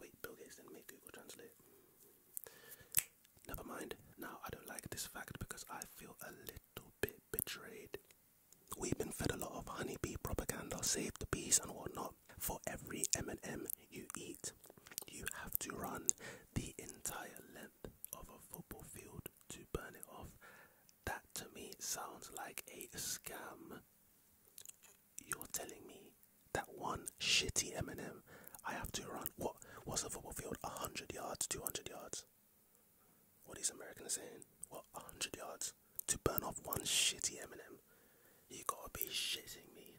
Wait, Bill Gates did make Google Translate. Never mind. Now, I don't like this fact because I feel a little bit betrayed. We've been fed a lot of honeybee propaganda, save the bees and whatnot. For every M&M you eat, you have to run the entire length of a football field to burn it off. That to me sounds like a scam you're telling me that one shitty M Eminem, I have to run what? What's a football field? hundred yards, two hundred yards. What these Americans are saying? What hundred yards to burn off one shitty M and M? You gotta be shitting me.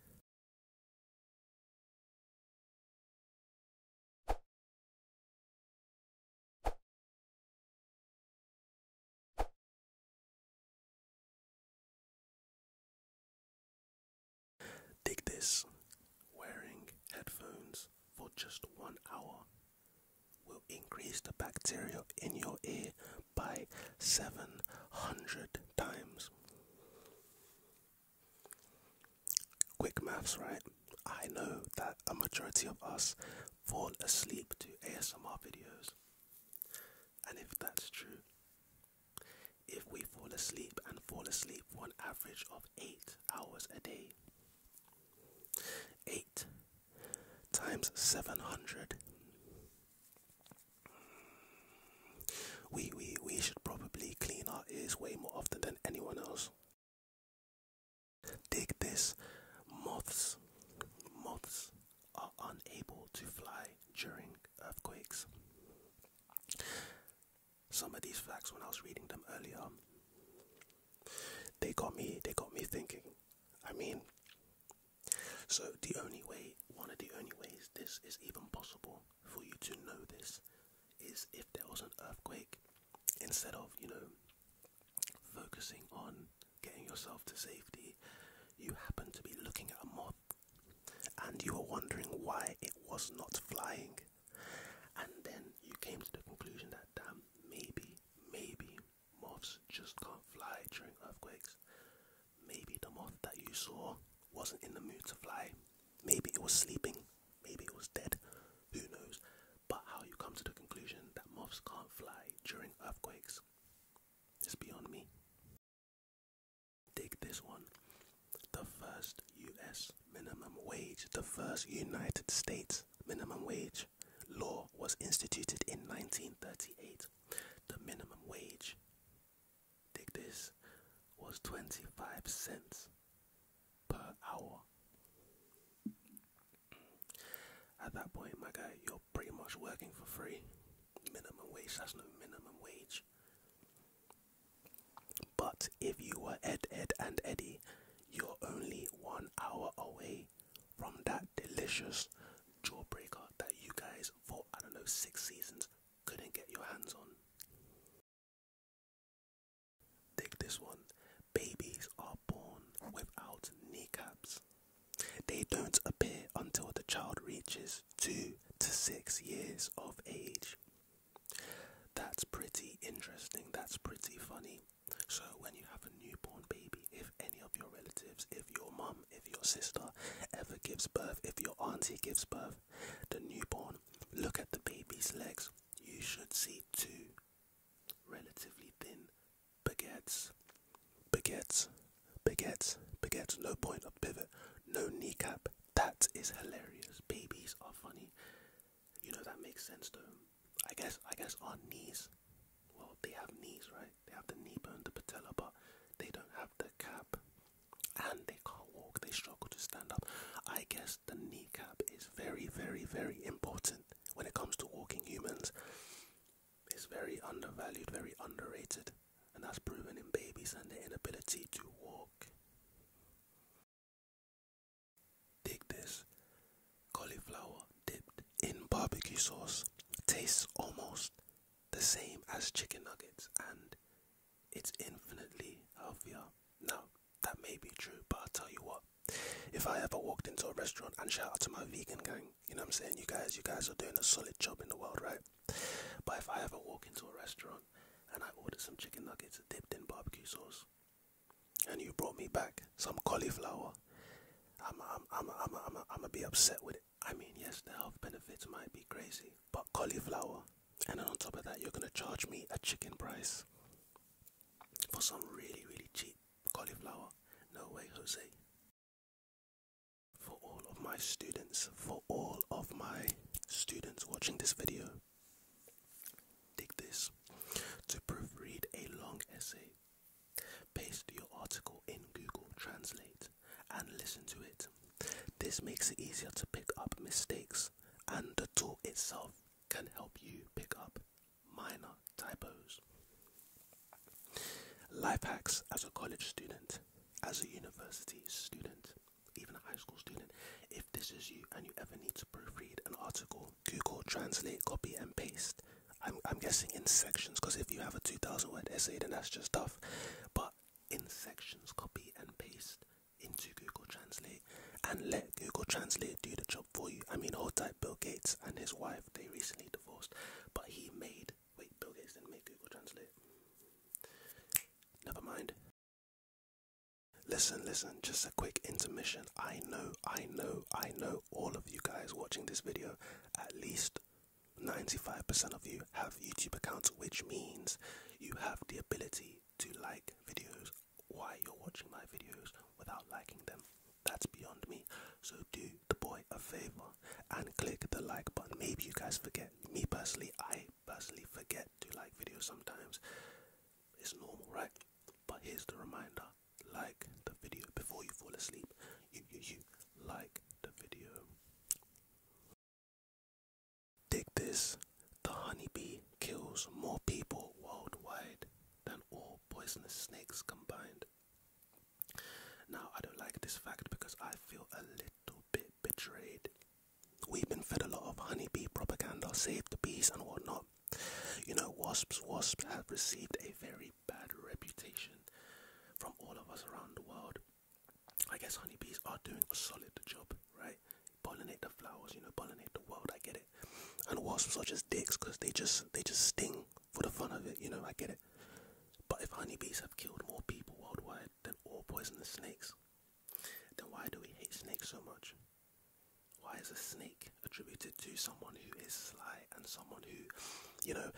Dig this wearing headphones for just one hour will increase the bacteria in your ear by 700 times. Quick maths, right? I know that a majority of us fall asleep to ASMR videos. And if that's true, if we fall asleep and fall asleep for an average of eight hours a day, eight times seven hundred. We, we, we should probably clean our ears way more often than anyone else. Dig this. Moths. Moths are unable to fly during earthquakes. Some of these facts, when I was reading them earlier, they got me. They got me thinking. I mean, so the only way, one of the only ways this is even possible for you to know this, is if there was an earthquake. Instead of you know focusing on getting yourself to safety, you happen to be looking at a moth and you were wondering why it was not flying, and then you came to the conclusion that damn, maybe, maybe moths just can't fly during earthquakes. Maybe the moth that you saw wasn't in the mood to fly. Maybe it was sleeping. Maybe it was dead. Who knows? But how you come to the conclusion that moths can't fly during earthquakes is beyond me. Dig this one. The first US minimum wage, the first United States minimum wage law was instituted in 1938. The minimum wage, dig this, was 25 cents per hour. At that point, my guy, pretty much working for free. Minimum wage, that's no minimum wage. But if you were Ed, Ed, and Eddie, you're only one hour away from that delicious jawbreaker that you guys, for I don't know, six seasons, couldn't get your hands on. Dig this one. Babies are born without kneecaps. They don't appear until the child reaches two to six years of age. That's pretty interesting, that's pretty funny. So, when you have a newborn baby, if any of your relatives, if your mum, if your sister ever gives birth, if your auntie gives birth, the newborn, look at the baby's legs. You should see two relatively thin baguettes. Baguettes. Baguettes, baguettes, no point of pivot, no kneecap. That is hilarious. Babies are funny. You know that makes sense though. I guess I guess our knees well they have knees, right? They have the knee bone, the patella, but they don't have the cap and they can't walk, they struggle to stand up. I guess the kneecap is very, very, very important when it comes to walking humans. It's very undervalued, very underrated and that's proven in babies and their inability to walk. Dig this cauliflower dipped in barbecue sauce tastes almost the same as chicken nuggets and it's infinitely healthier. Now, that may be true, but I'll tell you what, if I ever walked into a restaurant and shout out to my vegan gang, you know what I'm saying? You guys, you guys are doing a solid job in the world, right? But if I ever walk into a restaurant and I order some chicken nuggets dipped in barbecue sauce, and you brought me back some cauliflower, I'm I'm I'm I'm I'm I'm gonna be upset with it. I mean, yes, the health benefits might be crazy, but cauliflower, and then on top of that, you're gonna charge me a chicken price for some really really cheap cauliflower. No way, Jose. For all of my students, for all of my students watching this video, take this. To proofread a long essay, paste your article in Google Translate and listen to it. This makes it easier to pick up mistakes, and the tool itself can help you pick up minor typos. Life hacks as a college student as a university student, even a high school student, if this is you and you ever need to proofread an article, Google Translate, copy and paste. I'm, I'm guessing in sections, because if you have a 2,000 word essay, then that's just tough. But in sections, copy and paste into Google Translate and let Google Translate do the job for you. I mean, hold tight Bill Gates and his wife, they recently divorced, but he made Wait, Bill Gates didn't make Google Translate. Never mind. Listen, listen, just a quick intermission. I know, I know, I know all of you guys watching this video, at least 95% of you have YouTube accounts, which means you have the ability to like videos while you're watching my videos without liking them. That's beyond me. So do the boy a favor and click the like button. Maybe you guys forget. Me personally, I personally forget to like videos sometimes. It's normal, right? But here's the reminder: like the video before you fall asleep. You, you, you like the video. Dig this: the honeybee kills more people worldwide than all poisonous snakes combined. Now, I don't like this fact because I feel a little little bit betrayed. We've been fed a lot of honeybee propaganda, save the bees and whatnot. You know, wasps, wasps have received a very bad reputation from all of us around the world. I guess honeybees are doing a solid job, right? Pollinate the flowers, you know, pollinate the world. I get it. And wasps are just dicks because they just they just sting for the fun of it, you know. I get it. But if honeybees have killed more people worldwide, than all poisonous snakes? Then why do we hate snakes so much? Why is a snake attributed to someone who is sly and someone who, you know,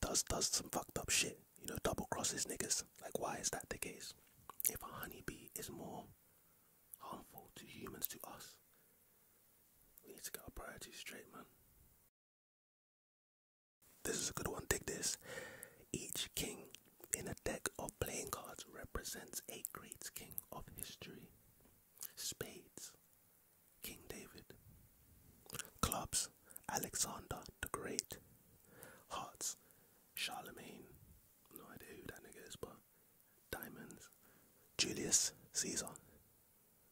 does does some fucked up shit? You know, double crosses niggas. Like, why is that the case? If a honeybee is more harmful to humans to us, we need to get our priorities straight, man. This is a good one. Take this. Each king in a deck of playing cards represents a great king of history. Spades, King David. Clubs, Alexander the Great. Hearts, Charlemagne. No idea who that nigga is, but diamonds, Julius Caesar.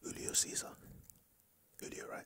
Julio Caesar. Julio, right?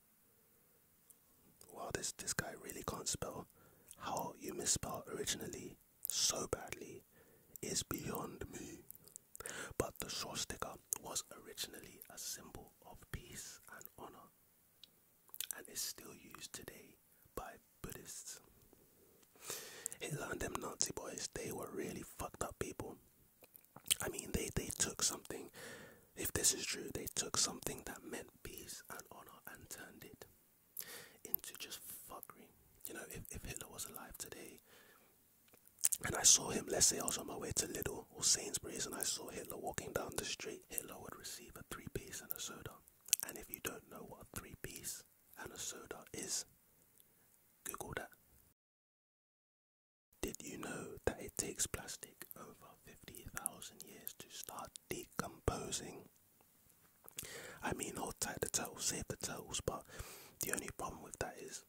Wow, this this guy really can't spell. How you misspell originally so badly is beyond me. But the short sticker was originally a symbol of peace and honor and is still used today by Buddhists. Hitler and them Nazi boys, they were really fucked up people. I mean, they, they took something if this is true, they took something that meant peace and honor and turned it into just fuckery. You know, if, if Hitler was alive today and I saw him, let's say I was on my way to Little or Sainsbury's and I saw Hitler walking down the street, Hitler would receive a three piece and a soda. And if you don't know what a three piece and a soda is, Google that. Did you know that it takes plastic over 50,000 years to start decomposing. I mean, hold tight the turtles, save the turtles, but the only problem with that is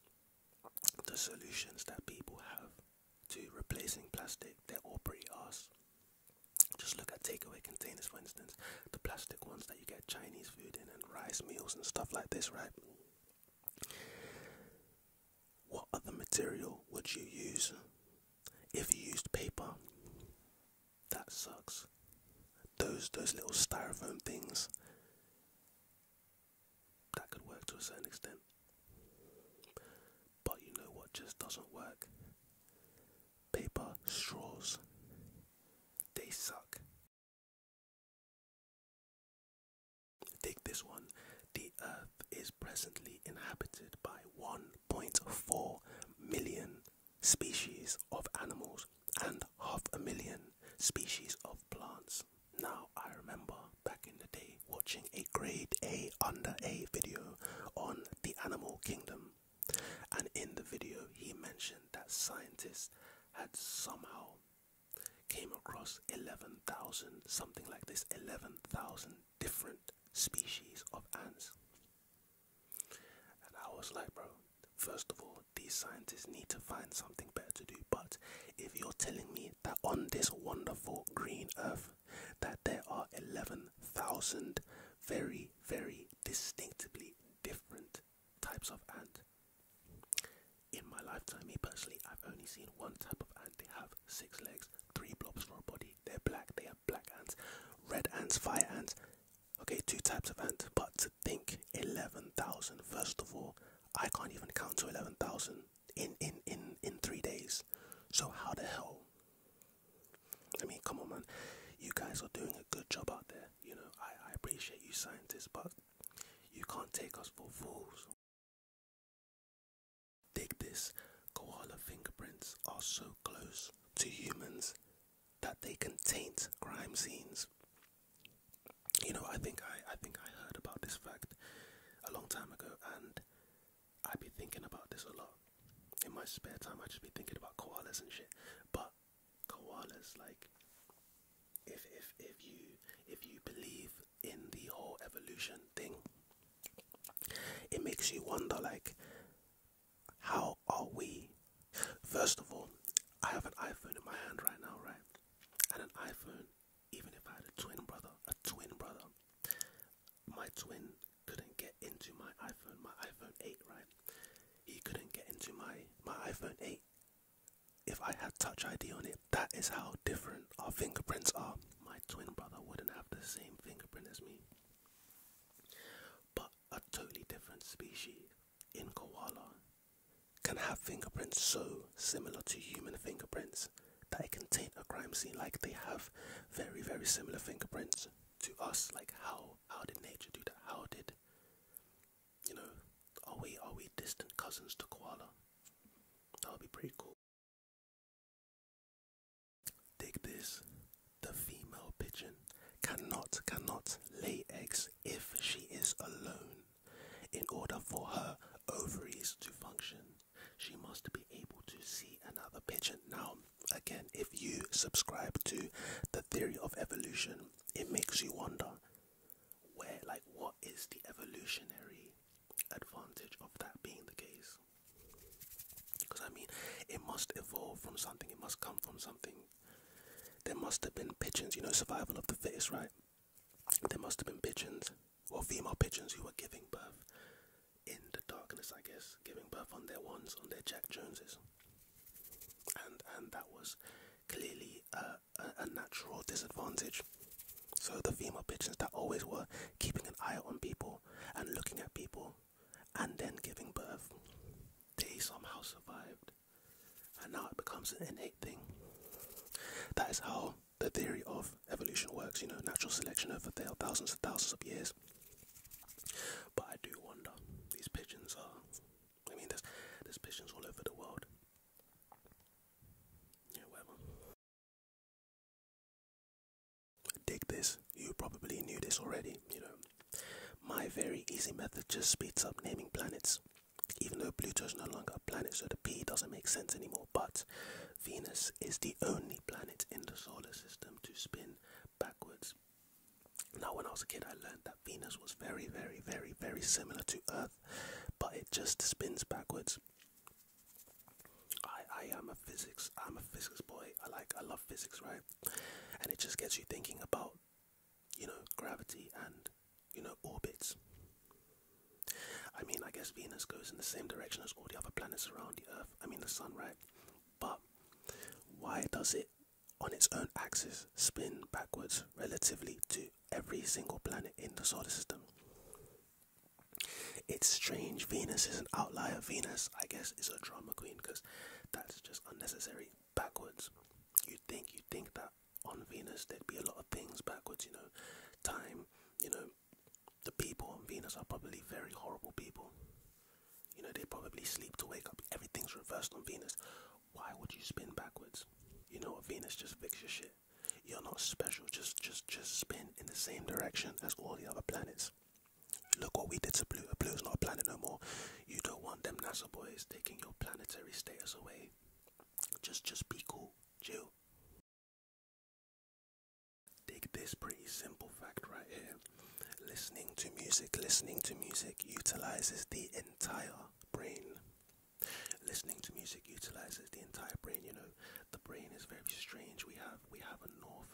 the solutions that people have to replacing plastic, they're all pretty arse. Just look at takeaway containers, for instance, the plastic ones that you get Chinese food in and rice meals and stuff like this, right? What other material would you use if you used paper, that sucks. Those those little styrofoam things that could work to a certain extent. But you know what just doesn't work? Paper straws. They suck. Take this one. The earth is presently inhabited by one 1.4 million species of animals and half a million species of plants. Now, I remember back in the day watching a grade A under A video on the animal kingdom, and in the video, he mentioned that scientists had somehow came across 11,000 something like this 11,000 different species of ants. And I was like, bro, first of all, these scientists need to find something better to do. But if you're telling me that on this wonderful green earth, that there are 11,000 very, very distinctively different types of ant. In my lifetime, me personally, I've only seen one type of ant. They have six legs, three blobs for a body. They're black. They have black ants, red ants, fire ants. Okay, two types of ants. But to think 11,000, first of all, I can't even count to 11,000 in, in, in, in three days. So how the hell? I mean, come on, man. You guys are doing a good job out there. You know, I, I appreciate you scientists, but you can't take us for fools. Dig this koala fingerprints are so close to humans that they can taint crime scenes. You know, I think I, I think I heard about this fact a long time ago and I have been thinking about this a lot. In my spare time I just be thinking about koalas and shit. But koalas like if if if you if you believe in the whole evolution thing it makes you wonder like how are we first of all i have an iphone in my hand right now right and an iphone even if i had a twin brother a twin brother my twin couldn't get into my iphone my iphone 8 right he couldn't get into my my iphone 8 if i had touch id on it that is how different our fingerprints are my twin brother wouldn't have the same fingerprint as me but a totally different species in koala can have fingerprints so similar to human fingerprints that it can taint a crime scene like they have very very similar fingerprints to us like how how did nature do that how did you know are we are we distant cousins to koala that would be pretty cool Dig this. The female pigeon cannot cannot lay eggs if she is alone. In order for her ovaries to function, she must be able to see another pigeon. Now, again, if you subscribe to the theory of evolution, it makes you wonder where like what is the evolutionary advantage of that being the case? Because I mean, it must evolve from something, it must come from something. There must have been pigeons, you know, survival of the fittest, right? There must have been pigeons, or female pigeons who were giving birth in the darkness, I guess, giving birth on their ones, on their Jack Joneses. And, and that was clearly a, a natural disadvantage. So the female pigeons that always were keeping an eye on people and looking at people and then giving birth, they somehow survived. And now it becomes an innate thing. That is how the theory of evolution works, you know, natural selection over thousands and thousands of years. But I do wonder, these pigeons are, I mean, there's, there's pigeons all over the world. Yeah, Dig this, you probably knew this already, you know. My very easy method just speeds up naming planets. Even though Pluto is no longer a planet, so the P doesn't make sense anymore, but Venus is the only planet in the solar system to spin backwards. Now, when I was a kid, I learned that Venus was very, very, very, very similar to Earth, but it just spins backwards. I, I am a physics. I'm a physics boy. I like. I love physics, right? And it just gets you thinking about, you know, gravity and, you know, orbits. I mean, I guess Venus goes in the same direction as all the other planets around the Earth. I mean, the Sun, right? But why does it, on its own axis, spin backwards relatively to every single planet in the solar system? It's strange. Venus is an outlier. Venus, I guess, is a drama queen. Because that's just unnecessary backwards. You think you think that on Venus there'd be a lot of things backwards, you know, time, you know, the people on Venus are probably very horrible people. You know, they probably sleep to wake up. Everything's reversed on Venus. Why would you spin backwards? You know Venus just fixes shit. You're not special, just just just spin in the same direction as all the other planets. Look what we did to Blue. Blue's not a planet no more. You don't want them NASA boys taking your planetary status away. Just, just be cool, chill. Dig this pretty simple fact right here. Listening to music, listening to music utilizes the entire brain. Listening to music utilizes the entire brain. You know, the brain is very strange. We have we have a north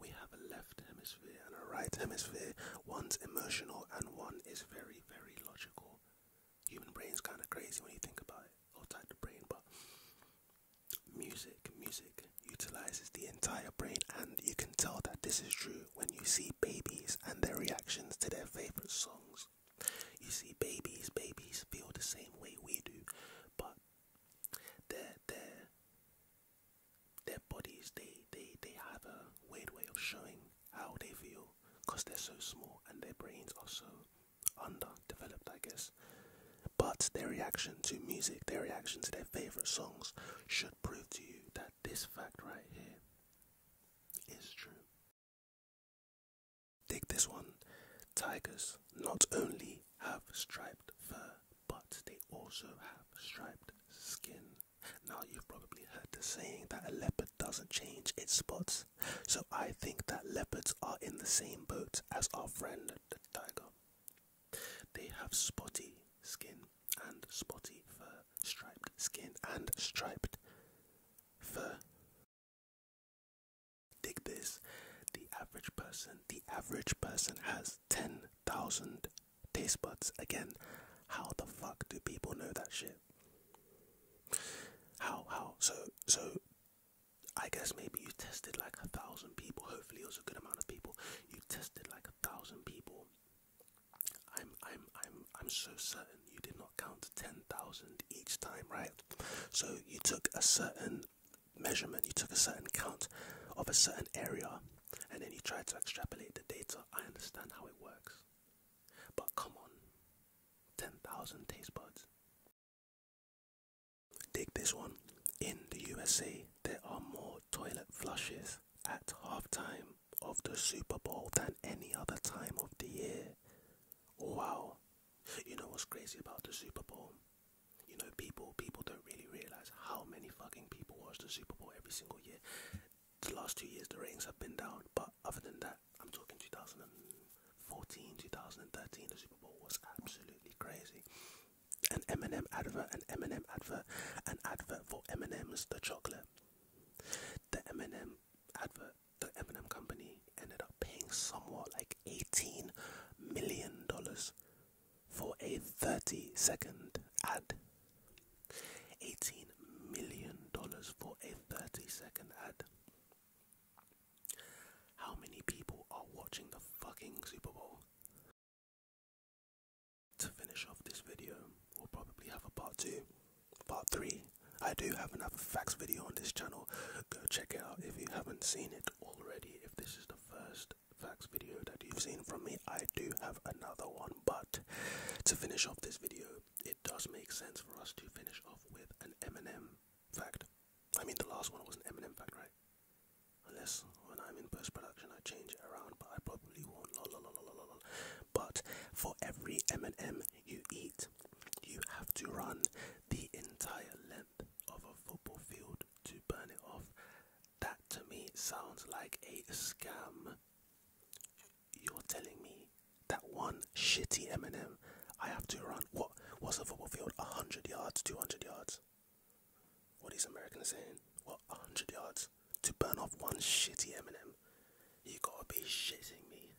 we have a left hemisphere and a right hemisphere. One's emotional and one is very, very logical. Human brain's kind of crazy when you think about it, or type the brain, but music, music utilizes the entire brain, and you can tell that this is true when you see babies and their reactions to their favorite songs. You see babies, babies feel the same way we do, but their their their bodies they they they have a weird way of showing how they feel because they're so small and their brains are so underdeveloped i guess but their reaction to music their reaction to their favorite songs should prove to you that this fact right here is true dig this one tigers not only have striped fur but they also have striped skin. Now, you've probably heard the saying that a leopard doesn't change its spots, so I think that leopards are in the same boat as our friend the tiger. They have spotty skin and spotty fur, striped skin and striped fur. Dig this. The average person, the average person has 10,000 taste buds. Again, how the fuck do people know that shit? How, how? So, so I guess maybe you tested like a thousand people. Hopefully, it was a good amount of people. You tested like a thousand people. I'm, I'm, I'm, I'm so certain you did not count to 10,000 each time, right? So you took a certain measurement, you took a certain count of a certain area and then you tried to extrapolate the data. I understand how it works. But come on, 10,000 taste buds. Dig this one. In the USA, there are more toilet flushes at halftime of the Super Bowl than any other time of the year. Wow. You know what's crazy about the Super Bowl? You know, people people don't really realize how many fucking people watch the Super Bowl every single year. The last two years, the ratings have been down, but other than that, I'm talking 2014, 2013. The Super Bowl was absolutely crazy. An M&M advert, an M&M advert, an advert for M&M's, the chocolate. The M&M advert, the M&M company ended up paying somewhere like 18 million dollars for a 30 second ad. $18 million for a 30 second ad. How many people are watching the fucking Super Bowl? To finish off this video, we'll probably have a part 2, part 3. I do have another facts video on this channel. Go check it out if you haven't seen it already. If this is the first facts video that you've seen from me. I do have another one, but to finish off this video, it does make sense for us to finish off with an Eminem fact. I mean, the last one was an Eminem fact, right? Unless when I'm in post production, I change it around, but I probably won't. Lol, lol, lol, lol, lol. But for every M&M you eat, you have to run the entire length of a football field to burn it off. That to me sounds like a scam. You're telling me that one shitty Eminem, I have to run what? What's a football field? hundred yards, two hundred yards. What is these Americans saying? What hundred yards to burn off one shitty Eminem? You gotta be shitting me.